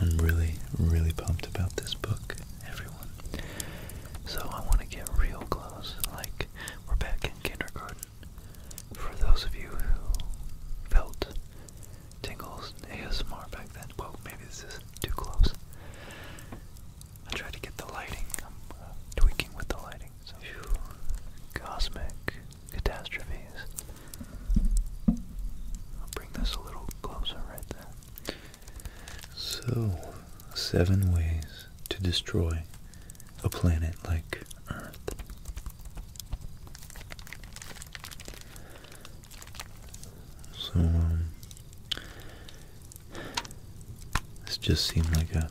I'm really, really pumped about this book, everyone. So I want to get real close, like we're back in kindergarten. For those of you who felt tingles ASMR back then, well, maybe this is too close. I tried to get the lighting. I'm um, uh, tweaking with the lighting. So, cosmic catastrophes. I'll bring this a little closer right there. So, seven ways to destroy a planet like Earth. So, um, this just seemed like a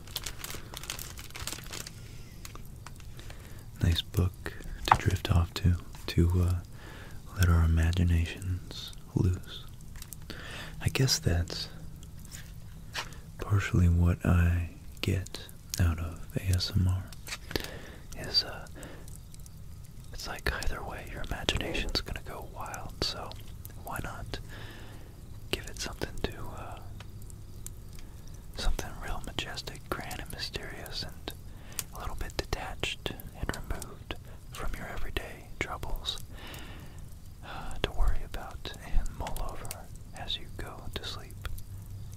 Nice book to drift off to, to uh, let our imaginations loose. I guess that's partially what I get out of ASMR. Is uh, it's like either way, your imagination's gonna go wild. So why not give it something to uh, something real majestic, grand, and mysterious, and a little bit detached and removed from your everyday troubles uh, to worry about and mull over as you go to sleep.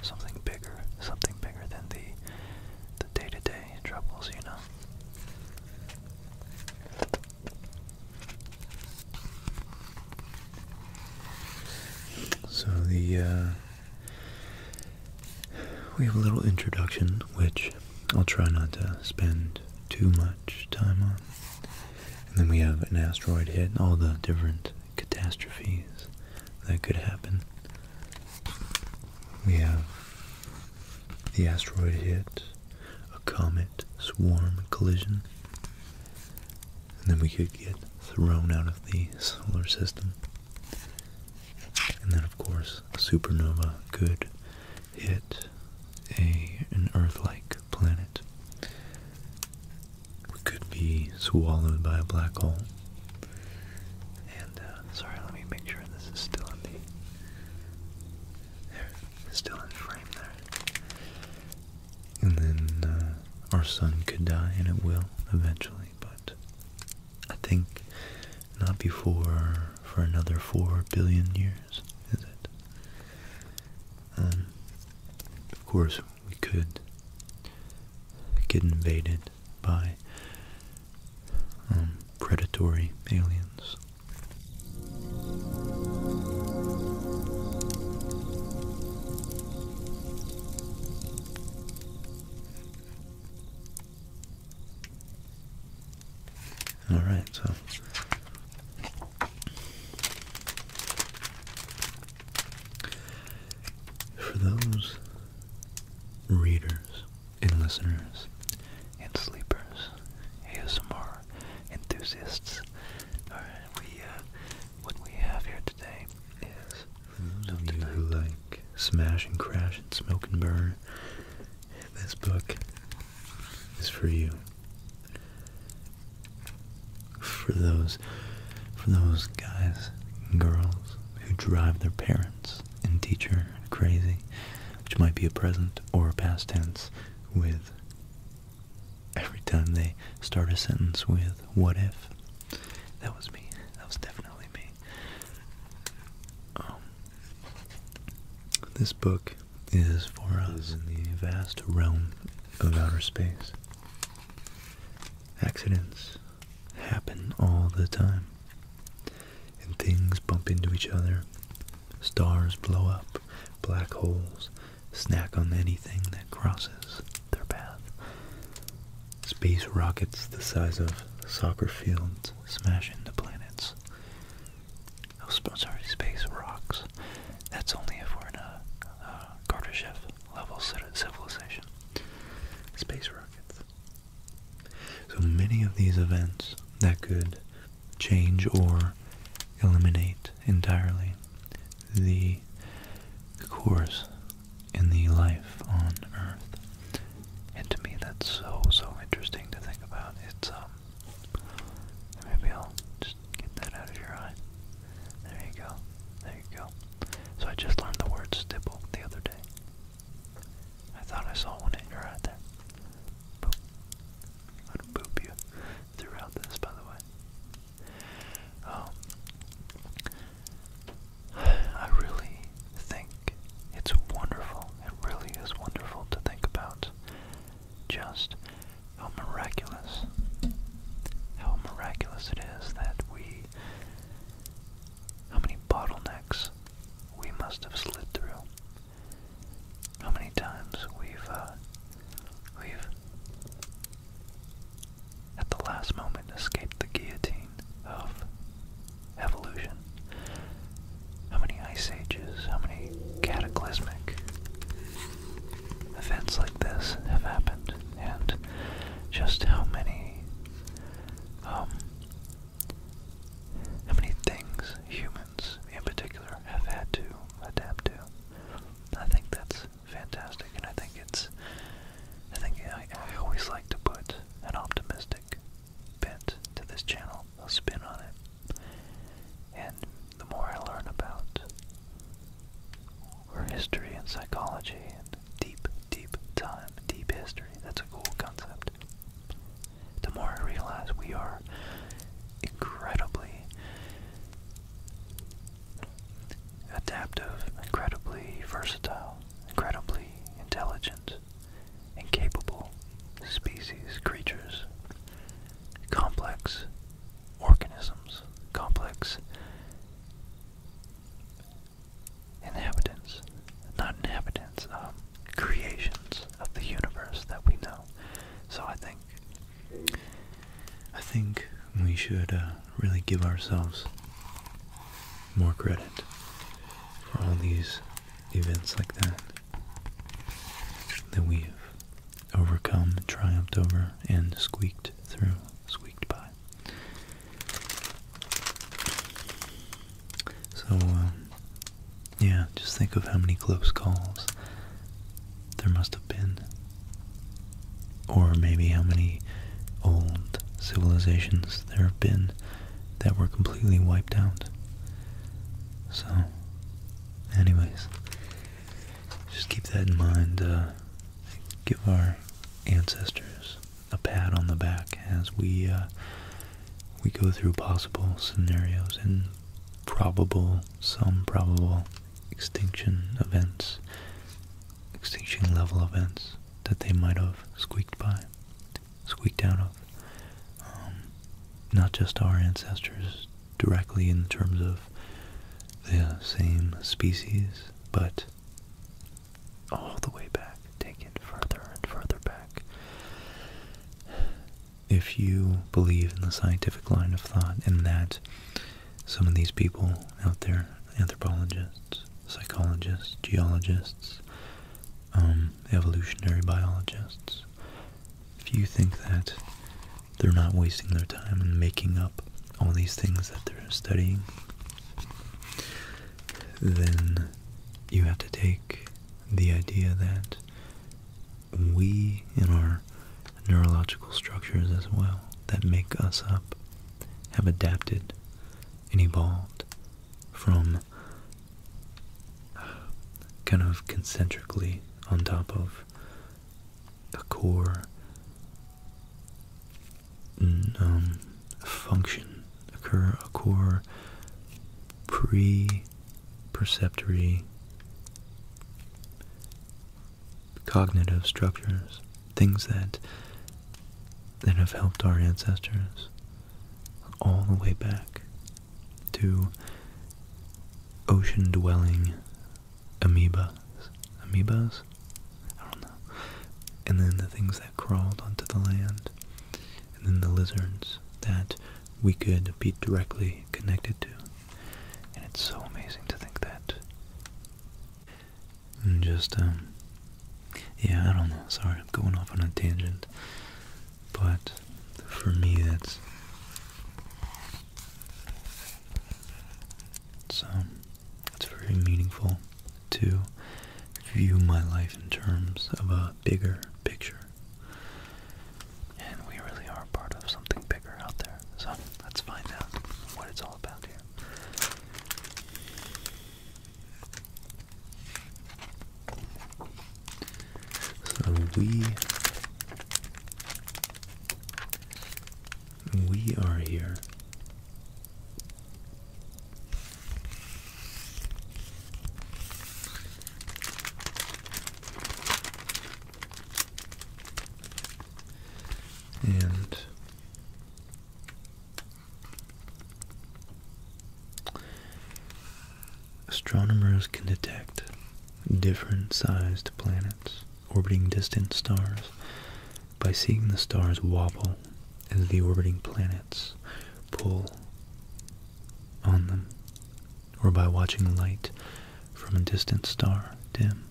Something bigger, something bigger than the the day-to-day troubles, you know. So the uh, we have a little introduction, which I'll try not to spend too much time on. And then we have an asteroid hit, all the different catastrophes that could happen. We have the asteroid hit, a comet swarm collision, and then we could get thrown out of the solar system. And then, of course, a supernova could hit a an Earth-like planet. We could be swallowed by a black hole. And uh, sorry, let me make sure this is still in the there, still in frame there. And then uh, our sun could die, and it will eventually but I think not before for another four billion years, is it? Um, of course, we could get invaded by um, predatory aliens. All right, so for those readers and listeners and sleepers, ASMR enthusiasts, all right, we uh, what we have here today is for those of you who like Smash and Crash and Smoke and Burn, this book is for you. For those, for those guys and girls who drive their parents and teacher crazy, which might be a present or a past tense with every time they start a sentence with what if that was me. That was definitely me. Um, this book is for us in the vast realm of outer space. Accidents happen all the time, and things bump into each other. Stars blow up, black holes snack on anything that crosses their path. Space rockets the size of soccer fields smash into planets. Oh, sorry, space rocks. That's only if we're in a uh, Kardashev level civilization. Space rockets. So many of these events that could change or eliminate entirely the course in the life on Earth. And to me, that's so, so interesting to think about. It's, um, maybe I'll just get that out of your eye. There you go. There you go. So I just learned the word stipple the other day. I thought I saw one in your eye there. I'm gonna boop you throughout this, by the way. Um, I really think it's wonderful. It really is wonderful to think about just how miraculous, how miraculous it is that we, how many bottlenecks we must have slid through, how many times we've, uh, we've at the last moment escaped the guillotine of evolution. How many ice ages, how many cataclysmic events like this have happened, and just how many, um, how many things humans in particular have had to adapt to. I think that's fantastic, and I think it's. I think I, always like to put an optimistic bent to this channel, a spin on it. And the more I learn about her history and psychology and deep, deep time, deep history, that's a cool concept. The more I realize we are incredibly adaptive, incredibly versatile, incredibly intelligent, and capable species, creatures, complex organisms, complex inhabitants, not inhabitants, um, creations of the universe that we know. So I think, I think we should uh, really give ourselves more credit for all these events like that that we've overcome, triumphed over, and squeaked through, squeaked by. So, um, yeah, just think of how many close calls there must have been or maybe how many old civilizations there have been that were completely wiped out. So, anyways, just keep that in mind. Uh, give our ancestors a pat on the back as we uh, we go through possible scenarios and probable, some probable extinction events, extinction level events that they might have squeaked by, squeaked out of. Um, not just our ancestors directly in terms of the same species, but all the way back, taken further and further back. If you believe in the scientific line of thought and that some of these people out there anthropologists, psychologists, geologists, um, evolutionary biologists, if you think that they're not wasting their time in making up all these things that they're studying, then you have to take the idea that we, in our neurological structures as well, that make us up, have adapted and evolved from uh, kind of concentrically on top of mm, um, a core function, a core pre-perceptory cognitive structures, things that that have helped our ancestors all the way back to ocean-dwelling amoebas. Amoebas? And then the things that crawled onto the land, and then the lizards that we could be directly connected to. And it's so amazing to think that and just um yeah I don't know sorry I'm going off on a tangent but for me that's so um, it's very meaningful to view my life in terms of a bigger picture and we really are part of something bigger out there so let's find out what it's all about here so we we are here and Astronomers can detect different sized planets orbiting distant stars by seeing the stars wobble as the orbiting planets pull on them, or by watching the light from a distant star dim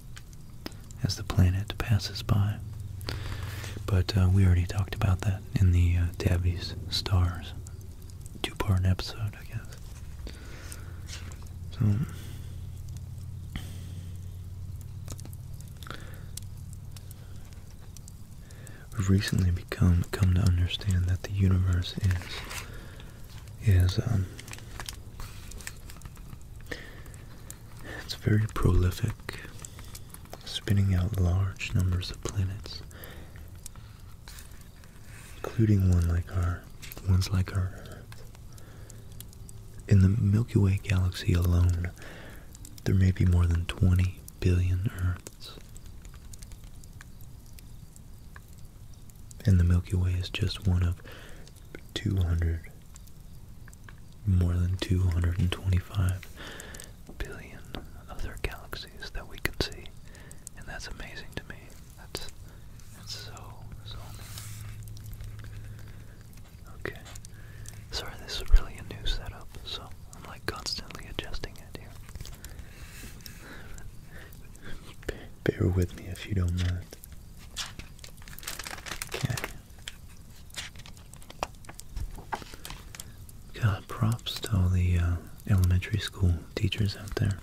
as the planet passes by. But uh, we already talked about that in the uh, Tabby's Stars two-part episode, I guess. So, we've recently become come to understand that the universe is is um, it's very prolific, spinning out large numbers of planets, including one like our ones like our Earth. In the Milky Way galaxy alone, there may be more than 20 billion Earths. And the Milky Way is just one of 200 more than 225 billion other galaxies that we can see. And that's amazing to me. That's that's so so Okay. Sorry, this is really a new setup, so I'm like constantly adjusting it here. Bear with me if you don't mind. Okay. God, props to all the uh, elementary school teachers out there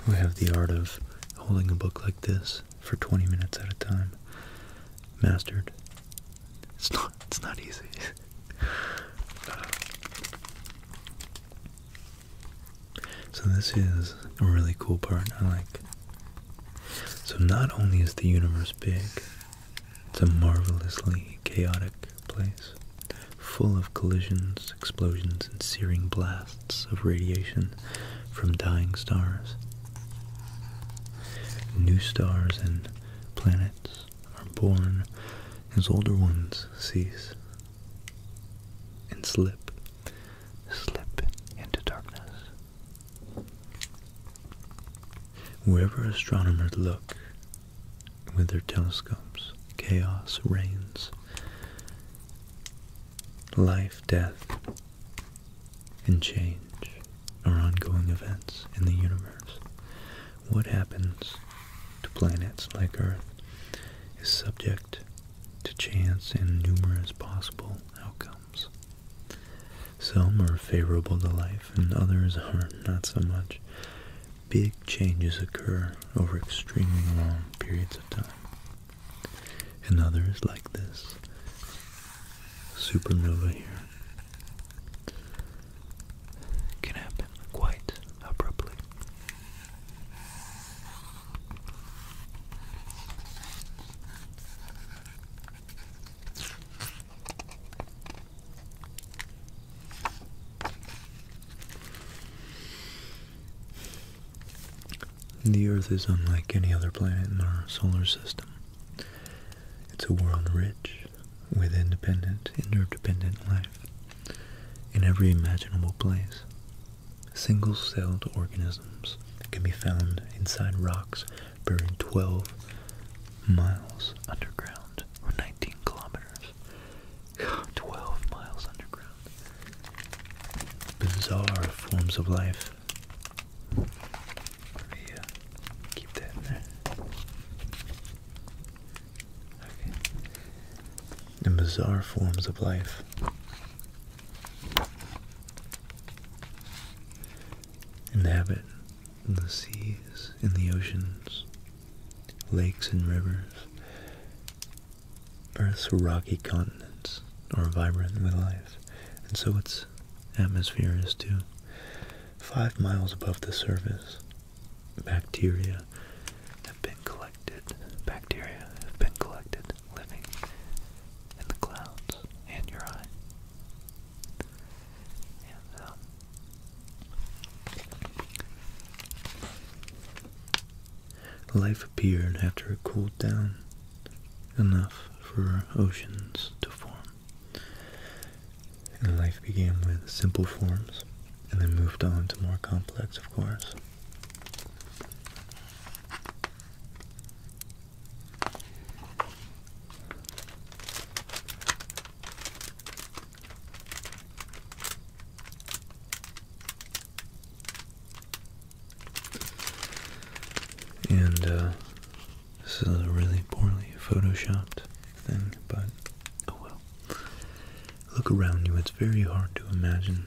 who have the art of holding a book like this for 20 minutes at a time mastered. It's not, it's not easy. so this is a really cool part. I like so not only is the universe big, it's a marvelously chaotic place, full of collisions, explosions, and searing blasts of radiation from dying stars. New stars and planets are born as older ones cease and slip, slip into darkness. Wherever astronomers look with their telescopes, chaos reigns. Life, death, and change are ongoing events in the universe. What happens to planets like Earth is subject to chance and numerous possible outcomes. Some are favorable to life and others are not so much. Big changes occur over extremely long periods of time. And others like this supernova here can happen quite abruptly. The Earth is unlike any other planet in our solar system. It's a world rich with independent, interdependent life in every imaginable place. Single-celled organisms can be found inside rocks buried 12 miles underground, or 19 kilometers. 12 miles underground. Bizarre forms of life. Yeah, keep that in there. Okay. The bizarre forms of life inhabit the seas, in the oceans, lakes and rivers. Earth's rocky continents are vibrant with life, and so its atmosphere is too. Five miles above the surface, bacteria have been collected. Bacteria have been collected living in the clouds and your eye. Um, life appeared after it cooled down enough for oceans to form. And life began with simple forms and then moved on to more complex, of course. And uh, this is a really poorly photoshopped thing, but oh well. Look around you, it's very hard to imagine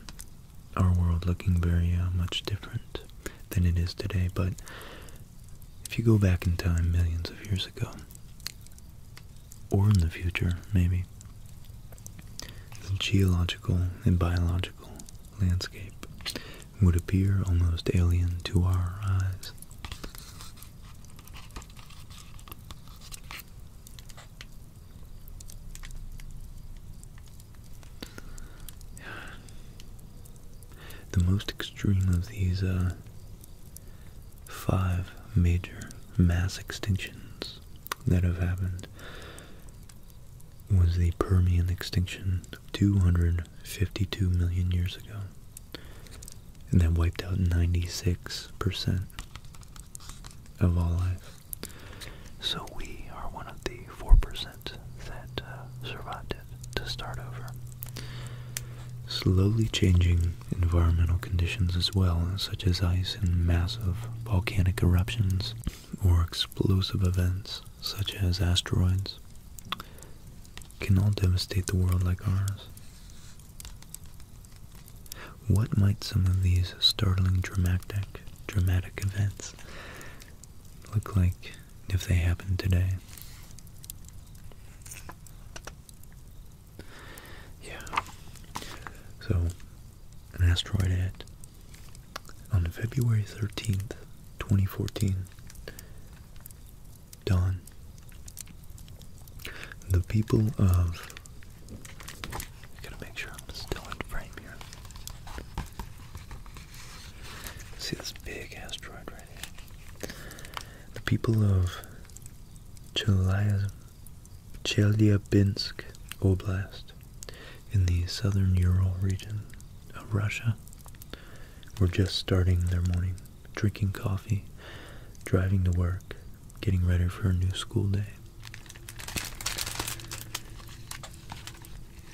our world looking very uh, much different than it is today, but if you go back in time millions of years ago, or in the future, maybe, the geological and biological landscape would appear almost alien to our eyes. The most extreme of these uh, five major mass extinctions that have happened was the Permian extinction 252 million years ago. And that wiped out 96% of all life. So we are one of the 4% that uh, survived it to start over. Slowly changing environmental conditions as well, such as ice and massive volcanic eruptions or explosive events such as asteroids, can all devastate the world like ours. What might some of these startling dramatic, dramatic events look like if they happened today. Yeah. So, an asteroid hit on February 13th, 2014. Dawn. The people of. gotta make sure I'm still in frame here. See this big asteroid right here? The people of Chelyabinsk Oblast in the southern Ural region of Russia were just starting their morning, drinking coffee, driving to work, getting ready for a new school day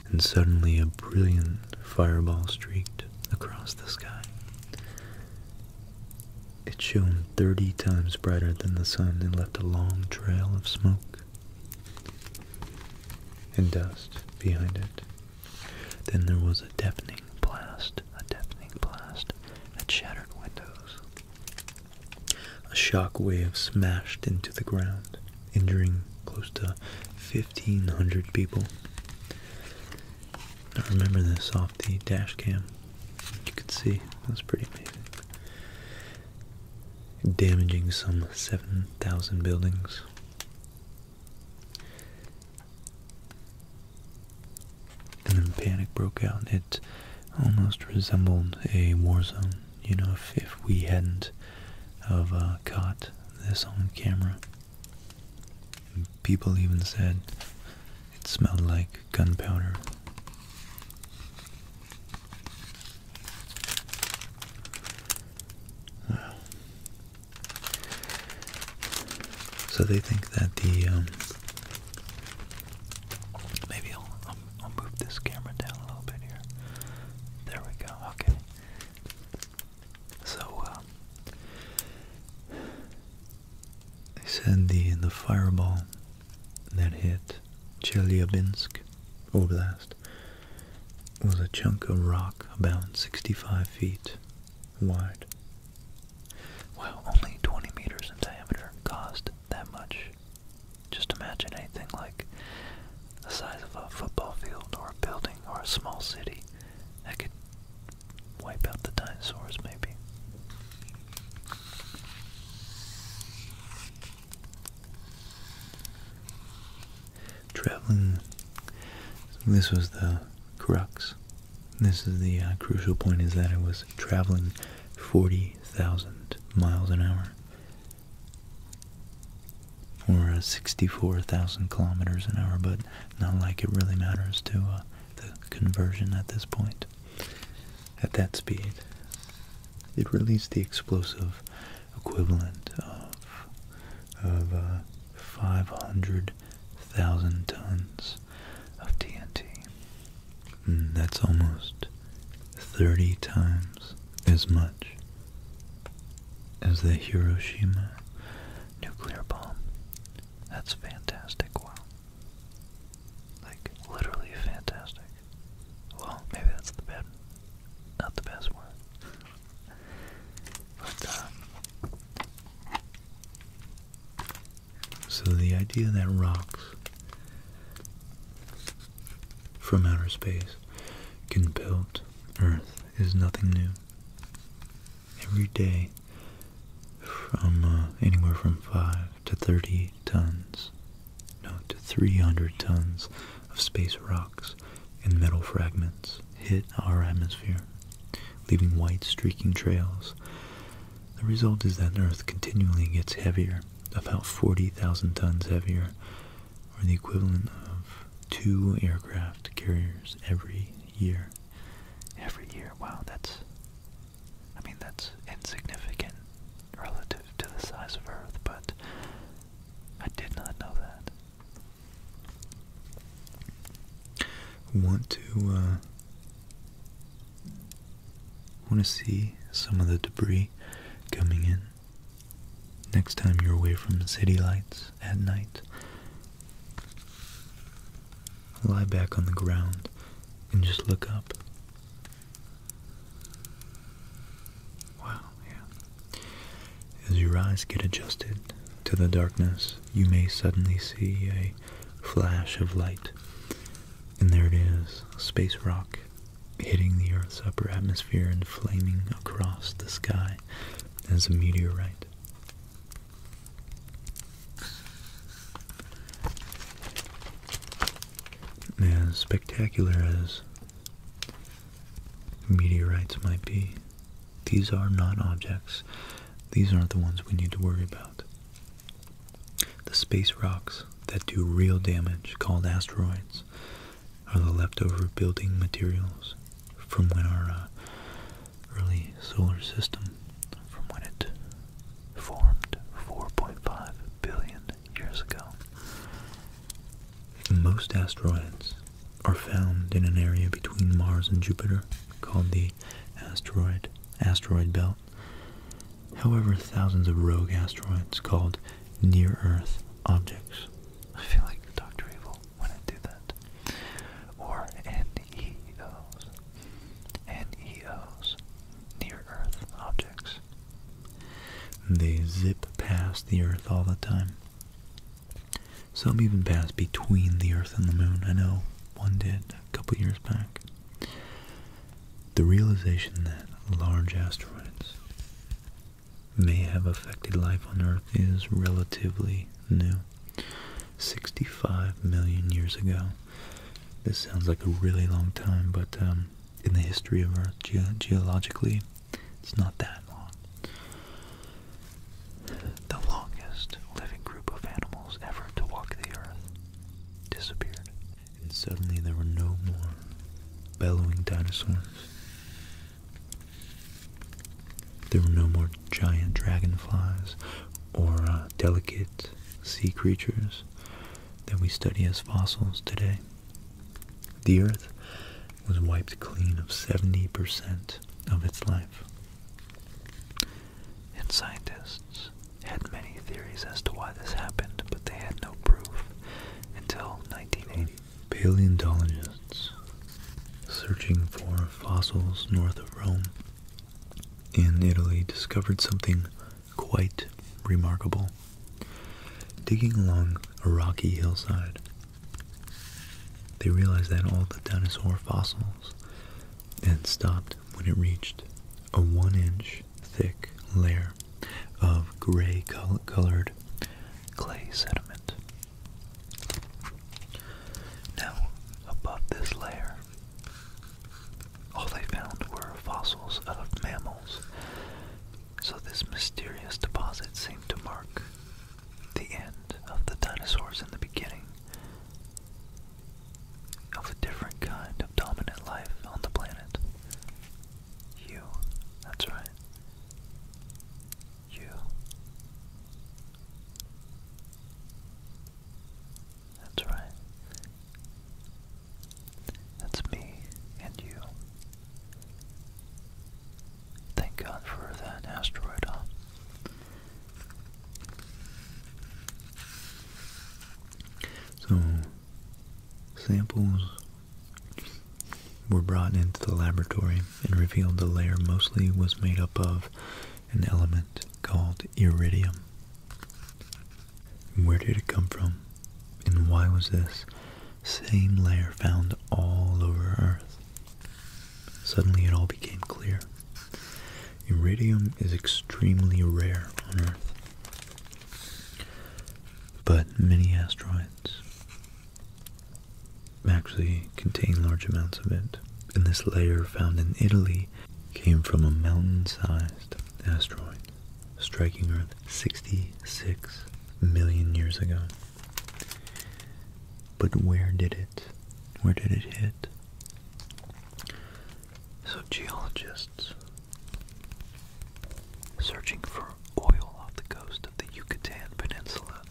and suddenly a brilliant fireball streaked across the sky. It shone thirty times brighter than the sun and left a long trail of smoke and dust behind it. Then there was a deafening blast, a deafening blast that shattered windows. A shock wave smashed into the ground, injuring close to 1,500 people. I remember this off the dash cam. You could see, that's pretty amazing. Damaging some 7,000 buildings. And then panic broke out. It almost resembled a war zone. You know, if we hadn't have uh, caught this on camera. People even said it smelled like gunpowder. So they think that the, um, maybe I'll move this camera down a little bit here. There we go, okay. So, uh, Sandy they the, fireball that hit Chelyabinsk, Oblast, was a chunk of rock about 65 feet wide. Well, only 20 meters in diameter caused that much. Just imagine anything like the size of a football field or a building or a small city that could wipe out the dinosaurs, maybe. Traveling, this was the crux. This is the uh, crucial point is that I was traveling 40,000 miles an hour or uh, 64,000 kilometers an hour, but not like it really matters to uh, the conversion at this point. At that speed, it released the explosive equivalent of, of uh, 500,000 tons of TNT. Hmm, that's almost 30 times as much as the Hiroshima nuclear bomb. That's fantastic, wow. Like, literally fantastic. Well, maybe that's the bad, not the best one. But, uh, so the idea that rocks from outer space can build Earth is nothing new. Every day, from uh, anywhere from 5 to 30 tons, no, to 300 tons of space rocks and metal fragments hit our atmosphere, leaving white streaking trails. The result is that Earth continually gets heavier, about 40,000 tons heavier or the equivalent of two aircraft carriers every year. Every year, wow, that's, I mean, that's insignificant relative to the size of Earth, but I did not know that. Want to, uh, want to see some of the debris coming in next time you're away from the city lights at night. Lie back on the ground and just look up. Wow, yeah. As your eyes get adjusted to the darkness, you may suddenly see a flash of light. And there it is, space rock hitting the Earth's upper atmosphere and flaming across the sky as a meteorite. As spectacular as meteorites might be, these are not objects. These aren't the ones we need to worry about. The space rocks that do real damage, called asteroids, are the leftover building materials from when our uh, early solar system, from when it formed 4.5 billion years ago. Most asteroids are found in an area between Mars and Jupiter called the asteroid asteroid belt. However, thousands of rogue asteroids called near Earth objects I feel like Dr. Evil when I do that. Or NEOs. NEOs. Near Earth objects. They zip past the Earth all the time. Some even pass between the Earth and the Moon. I know one did a couple years back. The realization that large asteroids may have affected life on Earth is relatively new. 65 million years ago. This sounds like a really long time, but um, in the history of Earth, geologically, it's not that long. The longest living group of animals ever to walk the Earth disappeared, and suddenly there were no more bellowing dinosaurs. There were no more giant dragonflies or uh, delicate sea creatures that we study as fossils today. The Earth was wiped clean of 70% of its life. And scientists had many theories as to why this happened, but they had no proof until 1980. Paleontologists searching for fossils north of Rome in Italy discovered something quite remarkable. Digging along a rocky hillside, they realized that all the dinosaur fossils had stopped when it reached a one inch thick layer of gray colored clay sediment. Now, above this layer, all they found were fossils of mammals, so this mysterious deposit seemed to mark the end of the dinosaurs and the beginning of a different kind of dominant life on the planet. You, that's right you that's right. That's me and you. Thank God for that asteroid, huh? So, samples were brought into the laboratory and revealed the layer mostly was made up of an element called iridium. Where did it come from? And why was this same layer found all over Earth? Suddenly it all became clear. Iridium is extremely rare on Earth. But many asteroids actually contain large amounts of it. And this layer found in Italy came from a mountain-sized asteroid striking Earth 66 million years ago. But where did it? Where did it hit? So geologists searching for oil off the coast of the Yucatan Peninsula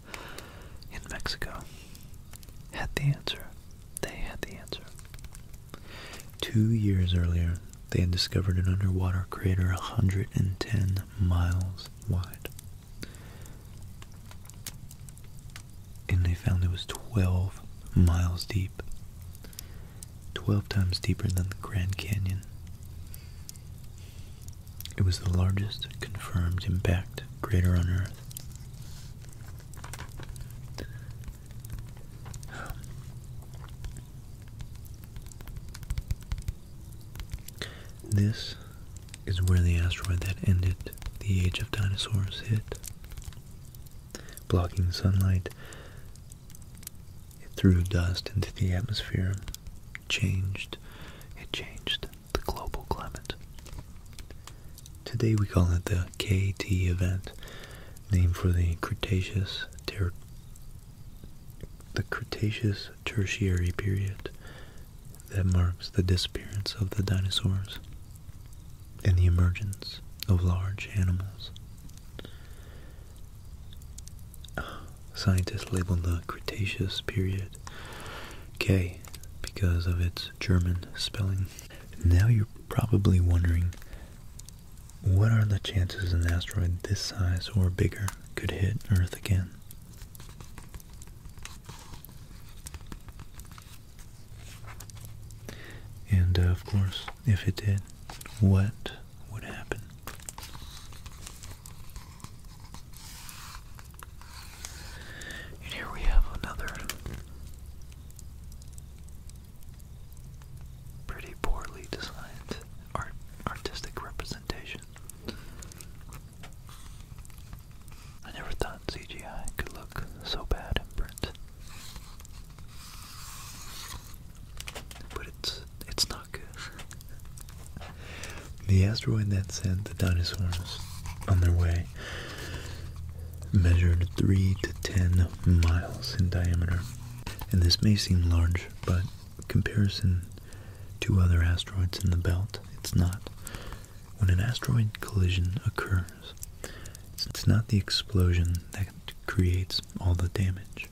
in Mexico had the answer. They had the answer. Two years earlier, they had discovered an underwater crater 110 miles wide. And they found it was 12 miles deep. 12 times deeper than the Grand Canyon. It was the largest confirmed impact crater on Earth. This is where the asteroid that ended the age of dinosaurs hit. Blocking sunlight, it threw dust into the atmosphere changed it changed the global climate. Today we call it the KT event, named for the Cretaceous Tertiary period that marks the disappearance of the dinosaurs and the emergence of large animals scientists label the Cretaceous period K because of its German spelling. Now you're probably wondering what are the chances an asteroid this size or bigger could hit Earth again? And uh, of course, if it did, what would happen? And here we have another pretty poorly designed artistic representation. I never thought CGI could look so bad in print. But it's it's not good. the asteroid that sent the dinosaurs on their way measured 3 to 10 miles in diameter. And this may seem large, but comparison to other asteroids in the belt, it's not. When an asteroid collision occurs, it's not the explosion that creates all the damage.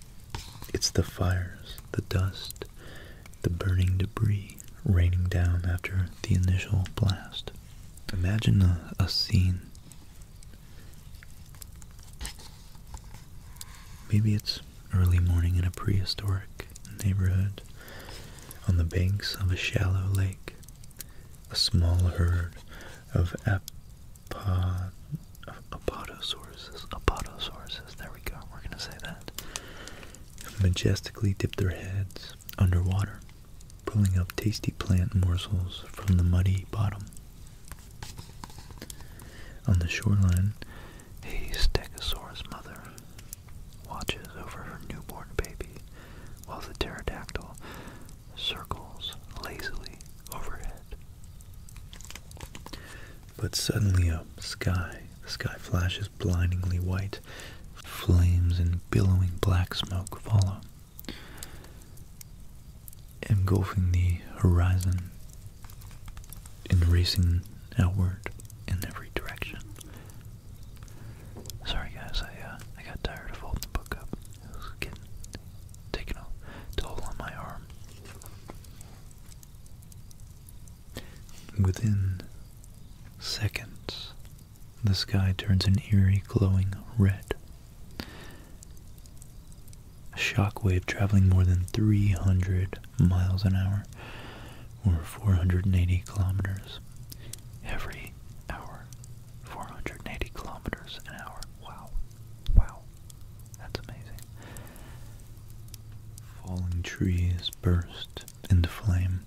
It's the fires, the dust, the burning debris raining down after the initial blast. Imagine a, a scene. Maybe it's early morning in a prehistoric neighborhood on the banks of a shallow lake. A small herd of apod, apodosauruses. Apodosauruses. There we go. We're going to say that majestically dip their heads underwater, pulling up tasty plant morsels from the muddy bottom. On the shoreline, a stegosaurus mother watches over her newborn baby while the pterodactyl circles lazily overhead. But suddenly a sky, the sky flashes blindingly white. Flames and billowing black smoke follow, engulfing the horizon and racing outward in every direction. Sorry guys, I uh, I got tired of holding the book up. It was getting taking a toll on my arm. Within seconds, the sky turns an eerie glowing red. A shockwave traveling more than 300 miles an hour, or 480 kilometers, every hour. 480 kilometers an hour. Wow. Wow. That's amazing. Falling trees burst into flame.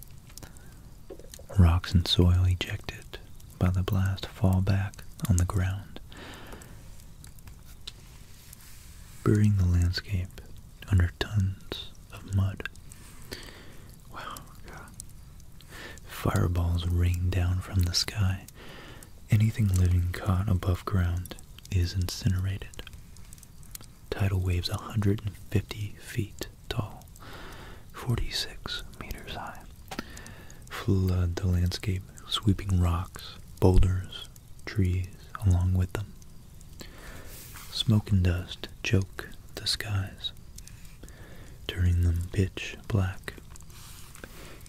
Rocks and soil ejected by the blast fall back on the ground, burying the landscape under tons of mud. Wow, God. Fireballs rain down from the sky. Anything living caught above ground is incinerated. Tidal waves 150 feet tall, 46 meters high, flood the landscape, sweeping rocks, boulders, trees along with them. Smoke and dust choke the skies, turning them pitch black.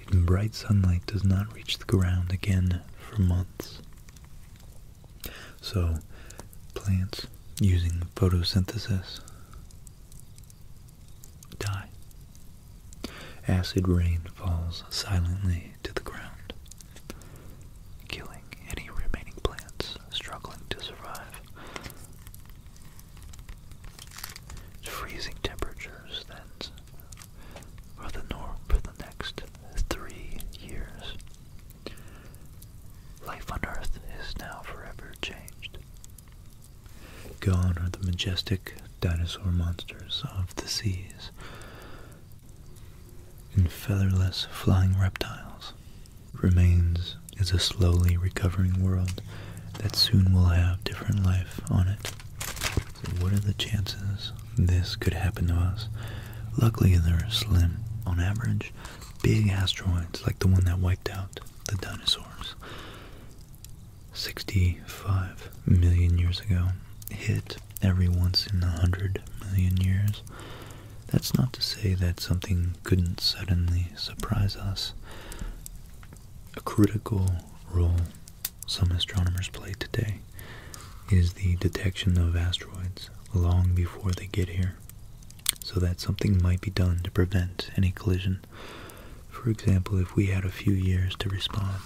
Even bright sunlight does not reach the ground again for months. So, plants using photosynthesis die. Acid rain falls silently to the ground, killing any remaining plants struggling to survive. Freezing temperatures then for the norm for the next three years. Life on Earth is now forever changed. Gone are the majestic dinosaur monsters of the seas and featherless flying reptiles. Remains is a slowly recovering world that soon will have different life on it. what are the chances this could happen to us. Luckily, they're slim on average. Big asteroids like the one that wiped out the dinosaurs 65 million years ago hit every once in a hundred million years. That's not to say that something couldn't suddenly surprise us. A critical role some astronomers play today is the detection of asteroids long before they get here, so that something might be done to prevent any collision. For example, if we had a few years to respond,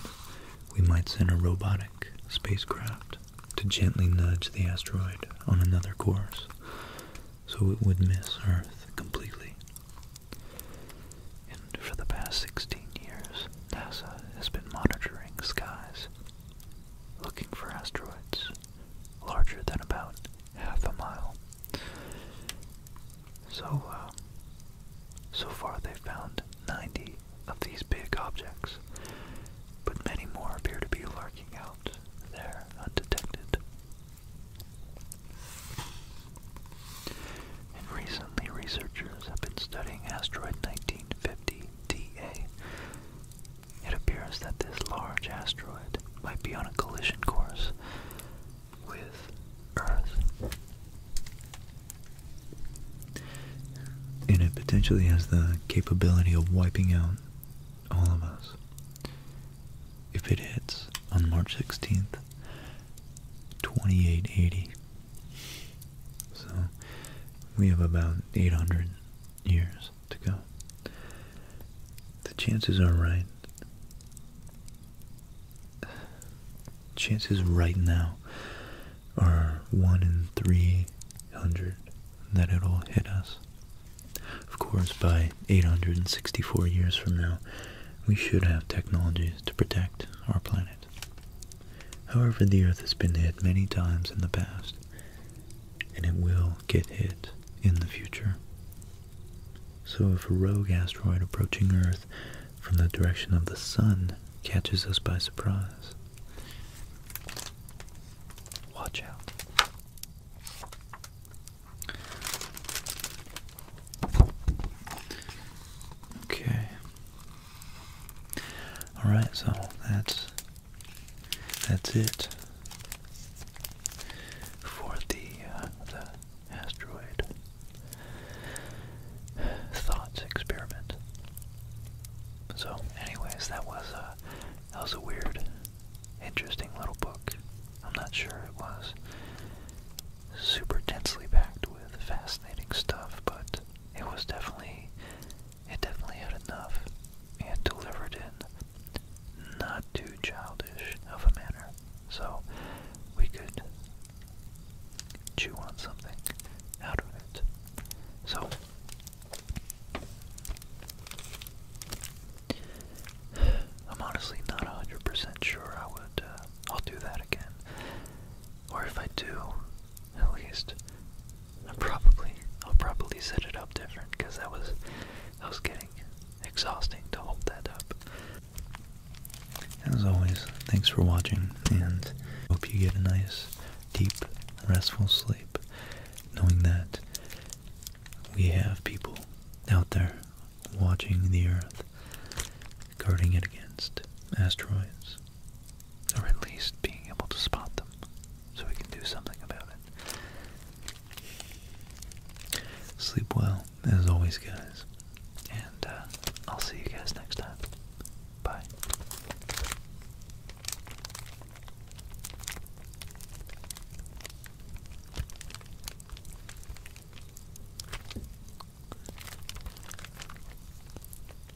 we might send a robotic spacecraft to gently nudge the asteroid on another course so it would miss Earth completely. And for the past 16 years, NASA has been monitoring skies looking for asteroids larger than about half a mile. So, uh, so far they've found 90 of these big objects, but many more appear to be lurking out there undetected. And recently, researchers have been studying asteroid 1950 DA. It appears that this large asteroid might be on a collision course with Earth. And it potentially has the capability of wiping out all of us. If it hits on March 16th, 2880, so we have about 800 years to go. The chances are right. Chances right now are 1 in 300 that it'll hit us. Of course, by 864 years from now, we should have technologies to protect our planet. However, the Earth has been hit many times in the past, and it will get hit in the future. So if a rogue asteroid approaching Earth from the direction of the Sun catches us by surprise, watch out. Okay. Alright, so that's that's it for uh, the, asteroid thoughts experiment. So, anyways, that was a uh, that was a weird, interesting little book. I'm not sure it was super densely packed with fascinating stuff, but it was definitely it definitely had enough and delivered in not too childish of a manner. So we could chew on something out of it. So I'm honestly not 100% sure I would, uh, I'll do that again. Or if I do, at least. I probably I'll probably set it up different because that was that was getting exhausting to hold that up. As always, thanks for watching and hope you get a nice, deep, restful sleep, knowing that we have people out there watching the Earth, guarding it against asteroids, or at least being able to spot them so we can do something about it. Sleep well, as always, guys. And uh, I'll see you guys next time. Bye.